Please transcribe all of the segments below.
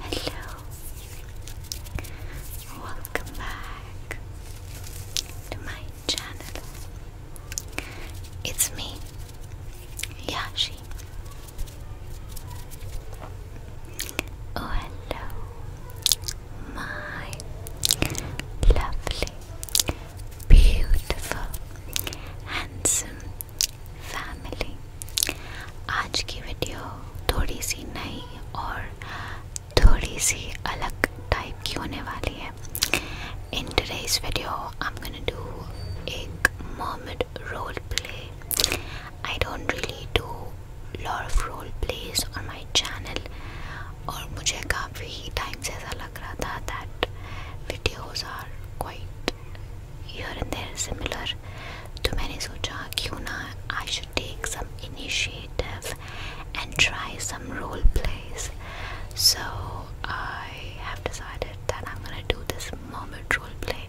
Hello. Welcome back to my channel. It's me, Yashi. Oh, hello, my lovely, beautiful, handsome, family आज की video थोड़ी सी नई और थोड़ी सी अलग टाइप की होने वाली है इन today's video I'm gonna do एक mermaid role play I don't really do lot of role plays on my channel और मुझे काफ़ी टाइम से ऐसा लग रहा था that videos are quite here and there similar तो मैंने सोचा क्यों ना I should take some initiative and try some role plays so I have decided that I'm gonna do this mermaid role play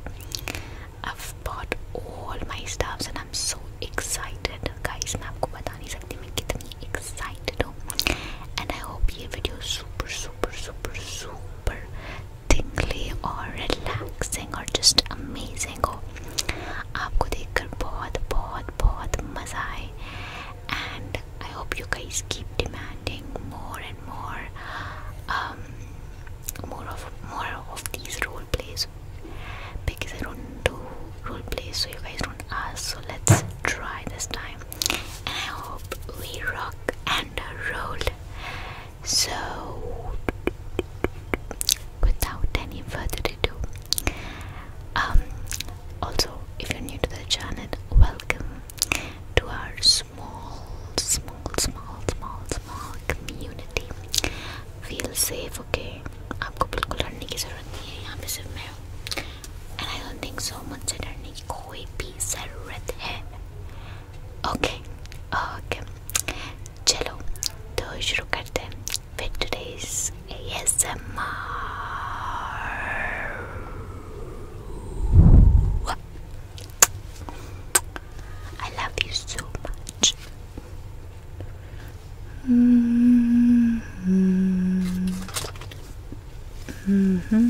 I've bought all my stuffs and I'm so excited guys मैं आपको बता नहीं सकती मैं कितनी excited हूँ and I hope ये video super super super super tingly or relaxing or just amazing हो oh, आपको देखकर बहुत बहुत बहुत मज़ा आए and I hope you guys keep demanding more and more um, more of more of these role plays because I don't do role plays so you guys don't ask so let's try this time and I hope we rock and roll so, without any further ado, um, also if you're new to the channel, welcome to our small, small, small, small, small community. Feel safe, okay? आपको बिल्कुल डरने की ज़रूरत नहीं है यहाँ पे सिर्फ मैं हूँ and I don't think so मुझसे डरने की कोई भी ज़रूरत है Okay, okay. Chalo, do shuru karte hain with today's ASMR. I love you so much. Mm-hmm. Mm-hmm.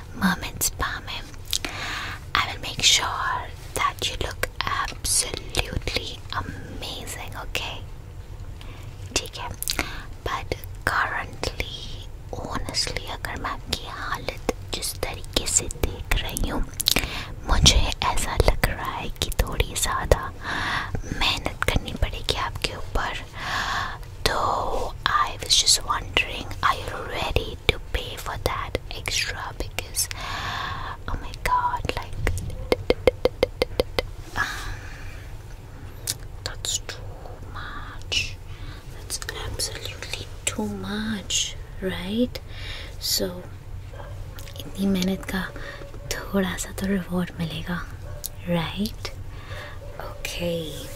Mermaid's Palm. I will make sure that you look absolutely amazing, okay? ठीक है but currently honestly अगर मैं आपकी हालत जिस तरीके से देख रही हूँ मुझे ऐसा लग रहा है कि थोड़ी ज़्यादा मेहनत करनी पड़ेगी आपके ऊपर Though I was just wondering, are you ready to pay for that extra? Because, oh my god, like, um, that's too much. That's absolutely too much, right? So, इतनी मेहनत का थोड़ा सा तो रिवॉर्ड मिलेगा, right? Okay.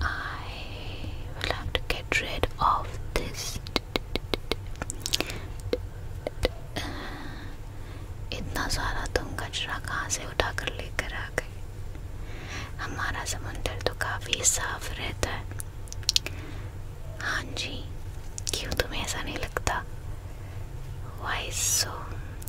I will have to get rid of this. इतना सारा तुम कचरा कहाँ से उठा कर लेकर आ गए हमारा समुंदर तो काफ़ी साफ रहता है हाँ जी क्यों तुम्हें ऐसा नहीं लगता वाइस सो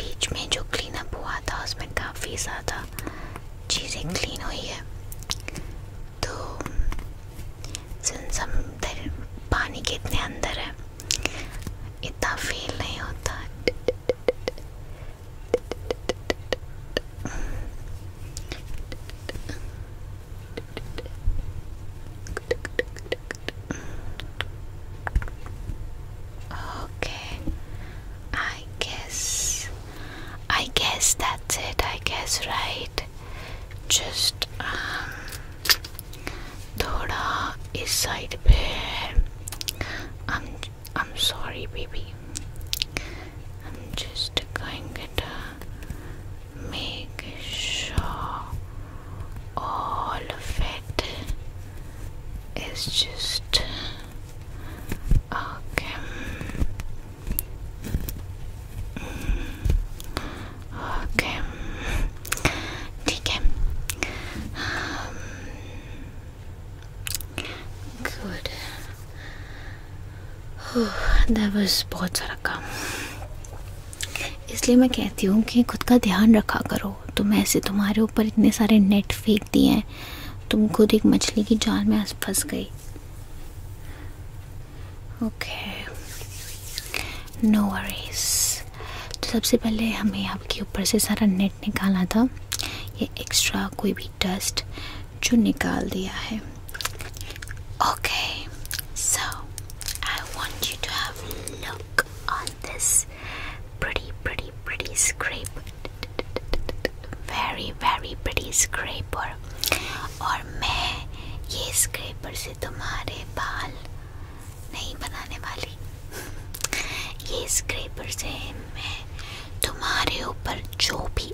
बीच में जो क्लीनअप हुआ था उसमें काफ़ी ज़्यादा चीज़ें क्लीन हम्म। हुई है तो सिंस हम पानी के इतने अंदर है इतना फील नहीं होता Okay, I guess, I guess that's it. I guess, right? Just um, thoda is side pe. I'm, I'm sorry, baby. I'm just going to make sure all of it is just okay. Okay. ठीक um, good बहुत सारा काम इसलिए मैं कहती हूँ कि खुद का ध्यान रखा करो तुम ऐसे तुम्हारे ऊपर इतने सारे नेट फेंक दिए हैं तुम खुद एक मछली की जाल में फंस गई ओके नो वरीज तो सबसे पहले हमें आपके ऊपर से सारा नेट निकाला था ये एक्स्ट्रा कोई भी डस्ट जो निकाल दिया है Okay, so I want you to have a look on this pretty, pretty, pretty scrape. Very, very pretty scraper. और मैं ये स्क्रेपर से तुम्हारे बाल नहीं बनाने वाली ये स्क्रेपर से मैं तुम्हारे ऊपर जो भी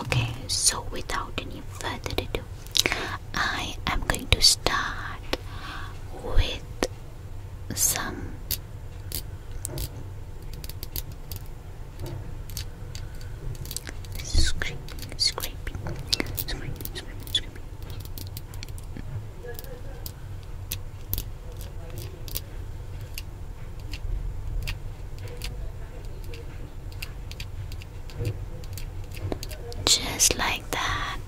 Okay, so without any further ado, I am going to start with some scraping, scraping, scraping, scraping, scraping. Just like that.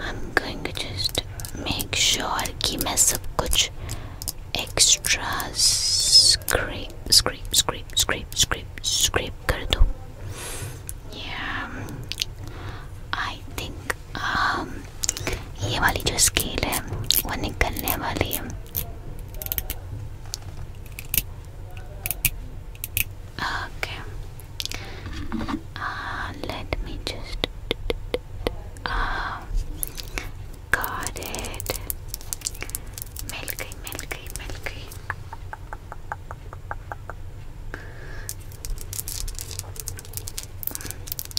I'm going to just make sure कि मैं सब कुछ extra scrape scrape scrape scrape scrape scrape कर दूँ. Yeah, I think um ये वाली जो scale है वो निकलने वाली है. Okay. Uh, let me just. Uh, got it. Milky, milky, milky.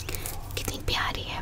Hmm. कितनी प्यारी है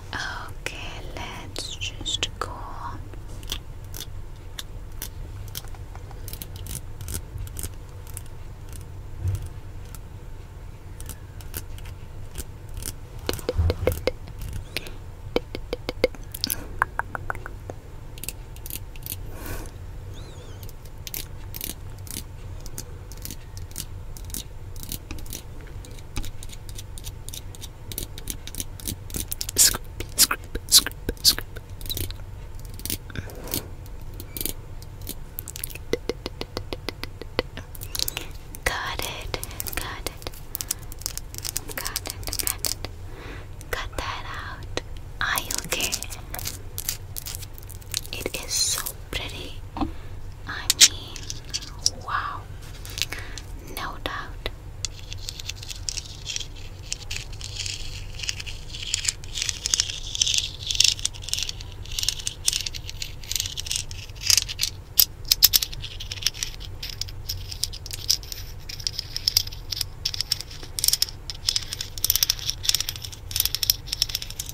Okay, let's just go. Got it, got it, got it, got that out. Are you okay? It is so pretty. I mean, wow. No doubt.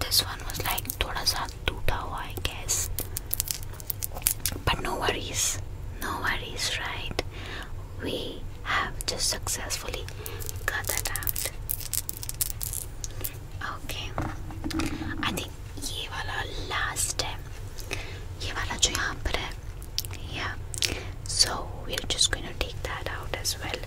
This one was like thoda sa toota hua, I guess. But no worries, no worries, right? We have just successfully cut that out. Okay, I think ये वाला last है, ये वाला जो यहाँ पर yeah. So we're just going to take that out as well.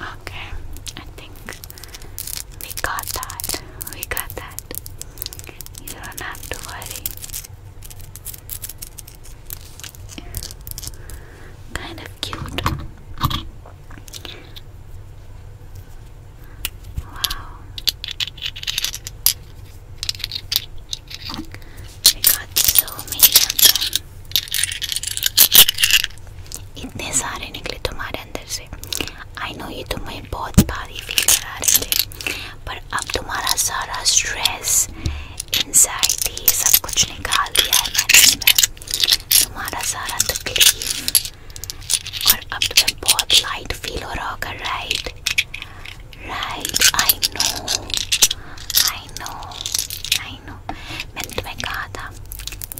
Okay, I think we got that. We got that. You don't have to worry. Kind of cute. Wow. We got so many of them. इतने सारे निकले तुम्हारे मेरे अंदर से I know ये तुम्हें बहुत भारी फील करा रहे थे पर अब तुम्हारा सारा स्ट्रेस एनजाइटी सब कुछ निकाल दिया है मैंने इसमें तुम्हारा सारा तकलीफ और अब तुम्हें बहुत लाइट फील हो रहा होगा right right I know I know I know मैंने तुम्हें कहा था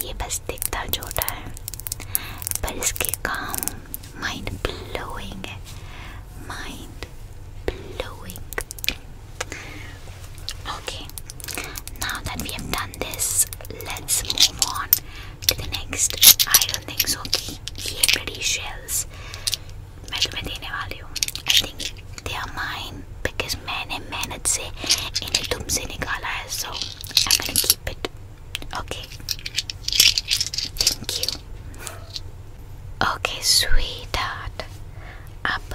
ये बस दिखता छोटा है पर इसके काम mind blowing, mind blowing. Okay, now that we have done this, let's move on to the next. I don't think so. Ye pretty shells. मैं तुम्हें देने वाली हूँ. I think they are mine because मैंने मेहनत से इन्हें तुमसे निकाला है. So I'm gonna keep it. Okay. Thank you. Okay, sweetheart. अब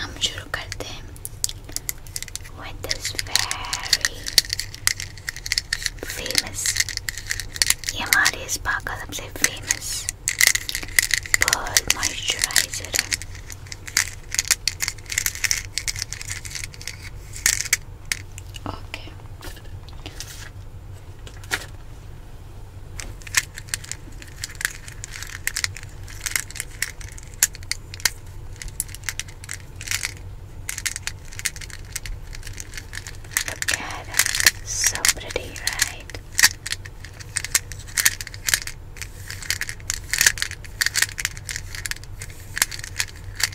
हम शुरू करते हैं with this very famous. ये हमारे इस बाग का famous pearl moisturizer Okay. So pretty, right?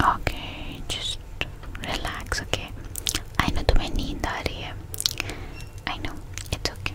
Okay, just relax, okay? I know तुम्हें नींद आ रही I know, it's okay.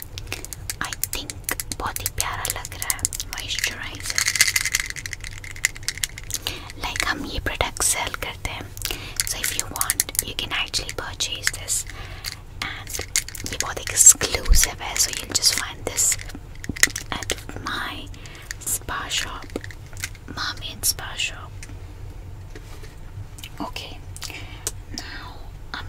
I think बहुत ही प्यारा लग रहा है मॉइस्चराइजर लाइक हम ये प्रोडक्ट सेल करते हैं so if you want you can actually purchase this and ये बहुत एक्सक्लूसिव है so you just find this at my spa shop मामेन spa shop Okay, now I'm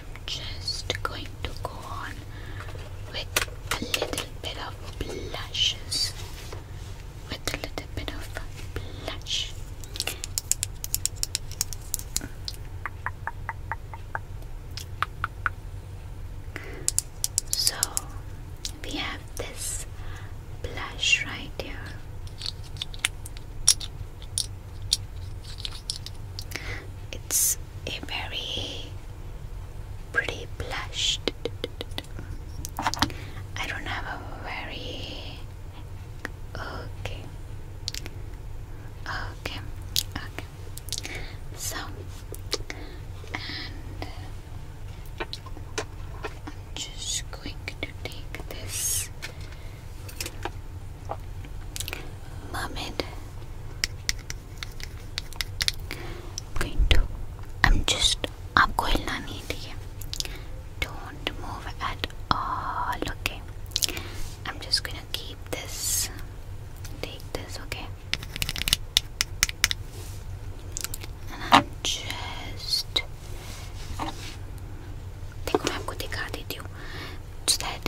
I'm just going to go on with a little bit of blushes. With a little bit of blush. So we have this blush right here. It's a very pretty blush. I don't have a very okay, okay, okay. So I'm just going to take this mermaid going to I'm just आपको हिलना नहीं ठीक है Don't move at all, okay? I'm just gonna keep this. Take this, okay? And I'm just. देखो मैं आपको दिखा देती हूँ so that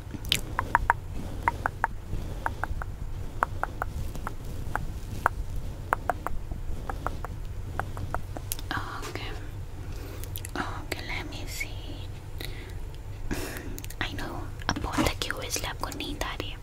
Okay. Okay, let me see. I know अब बहुत थकी हो इसलिए आपको नींद आ रही है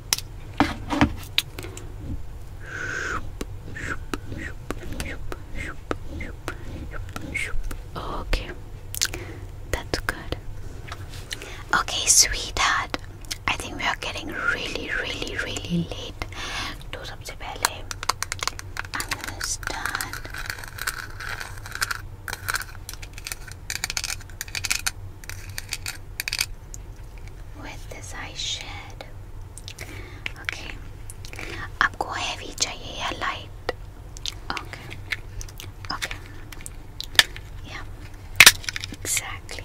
Okay, that's good. Okay, sweetheart, I think we are getting really, really, really late. To सबसे पहले, with this eye shade okay आपको हैवी चाहिए या लाइट ओके ओके या एग्जैक्टली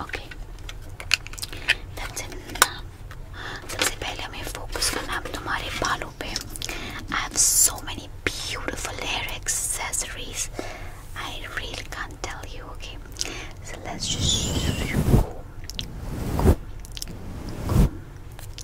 اوكي सबसे पहले हमें फोकस करना है तुम्हारे बालों पे I have so many beautiful hair accessories I really can't tell you okay so let's just comb, comb, comb,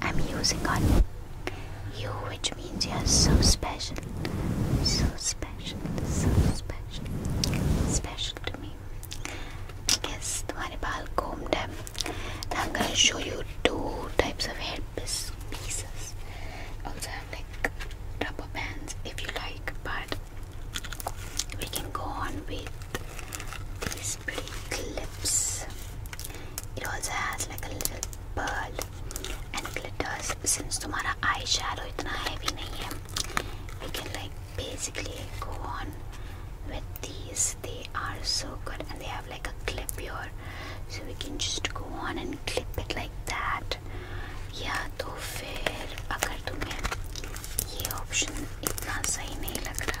I'm using on you, which means you're so special, so special, so special, special to me. Yes, तुम्हारे बाल combed है. Now I'm gonna show you two types of hair pieces. Also have like rubber bands if you like, but we can go on with these has pretty lips. It also has like a little pearl and glitters. Since तुम्हारा आई shadow इतना heavy नहीं है, we can like basically go on with these. They are so good and they have like a clip here, so we can just go on and clip it like that. या तो फिर अगर तुम्हें ये option इतना सही नहीं लग रहा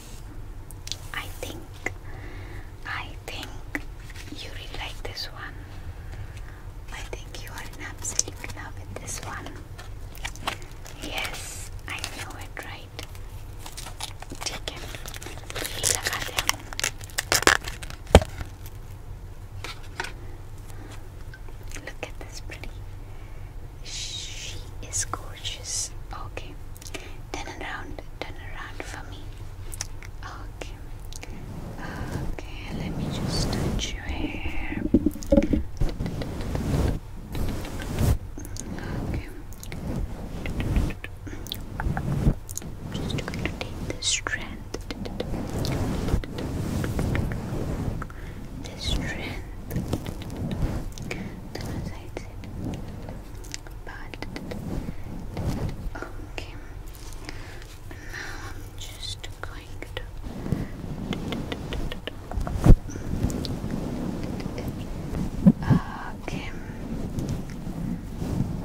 I think I think you really like this one. I think you are in absolute love with this one. Yes, I know it right. Take it. Look at this pretty. She is gorgeous. Okay. Turn around, turn around for me. Okay. Okay, let me just touch your hair. Okay. I'm just going to take this strand. This strand. Then I it but okay. Now I'm just going to okay.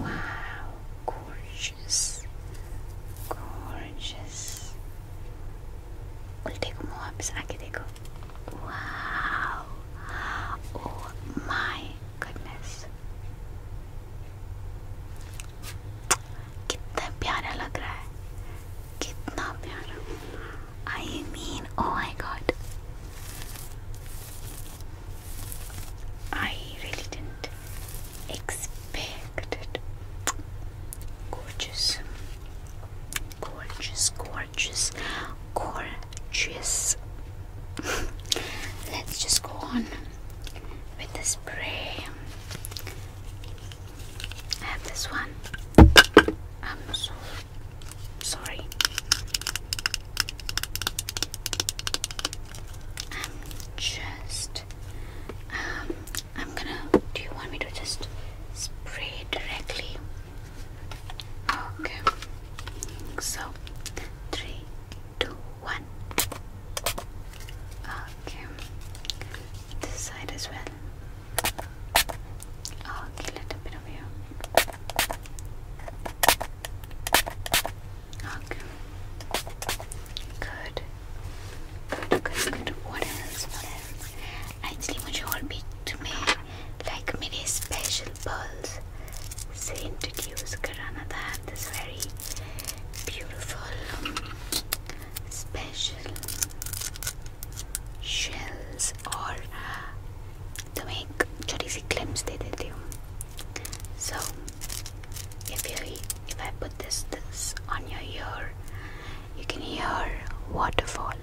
Wow, gorgeous, gorgeous. उल्टे घूमो वापस Wow. Oh my goodness. कितना प्यारा लग रहा है कितना प्यारा I mean oh my God I really didn't expect it gorgeous gorgeous, gorgeous, gorgeous. Let's just go on with the spray. I have this one. I'm so sorry. I'm just um I'm gonna do you want me to just spray directly Okay. So three, two, one. Okay. This side as well. Okay, little bit of you. Okay. Good. Good, good, good. What else? What else? Actually, मुझे और like many special pearls, they introduce have this very beautiful, um, special shells or तुम्हें छोटी सी glimpse they देती हूँ. So, if you if I put this this on your ear, you can hear waterfall.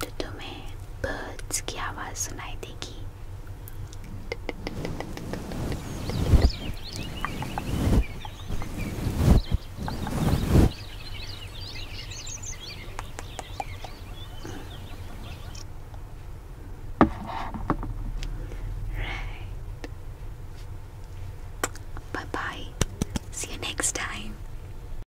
तो तुम्हें birds की आवाज़ सुनाई देगी Right. Bye bye. See you next time.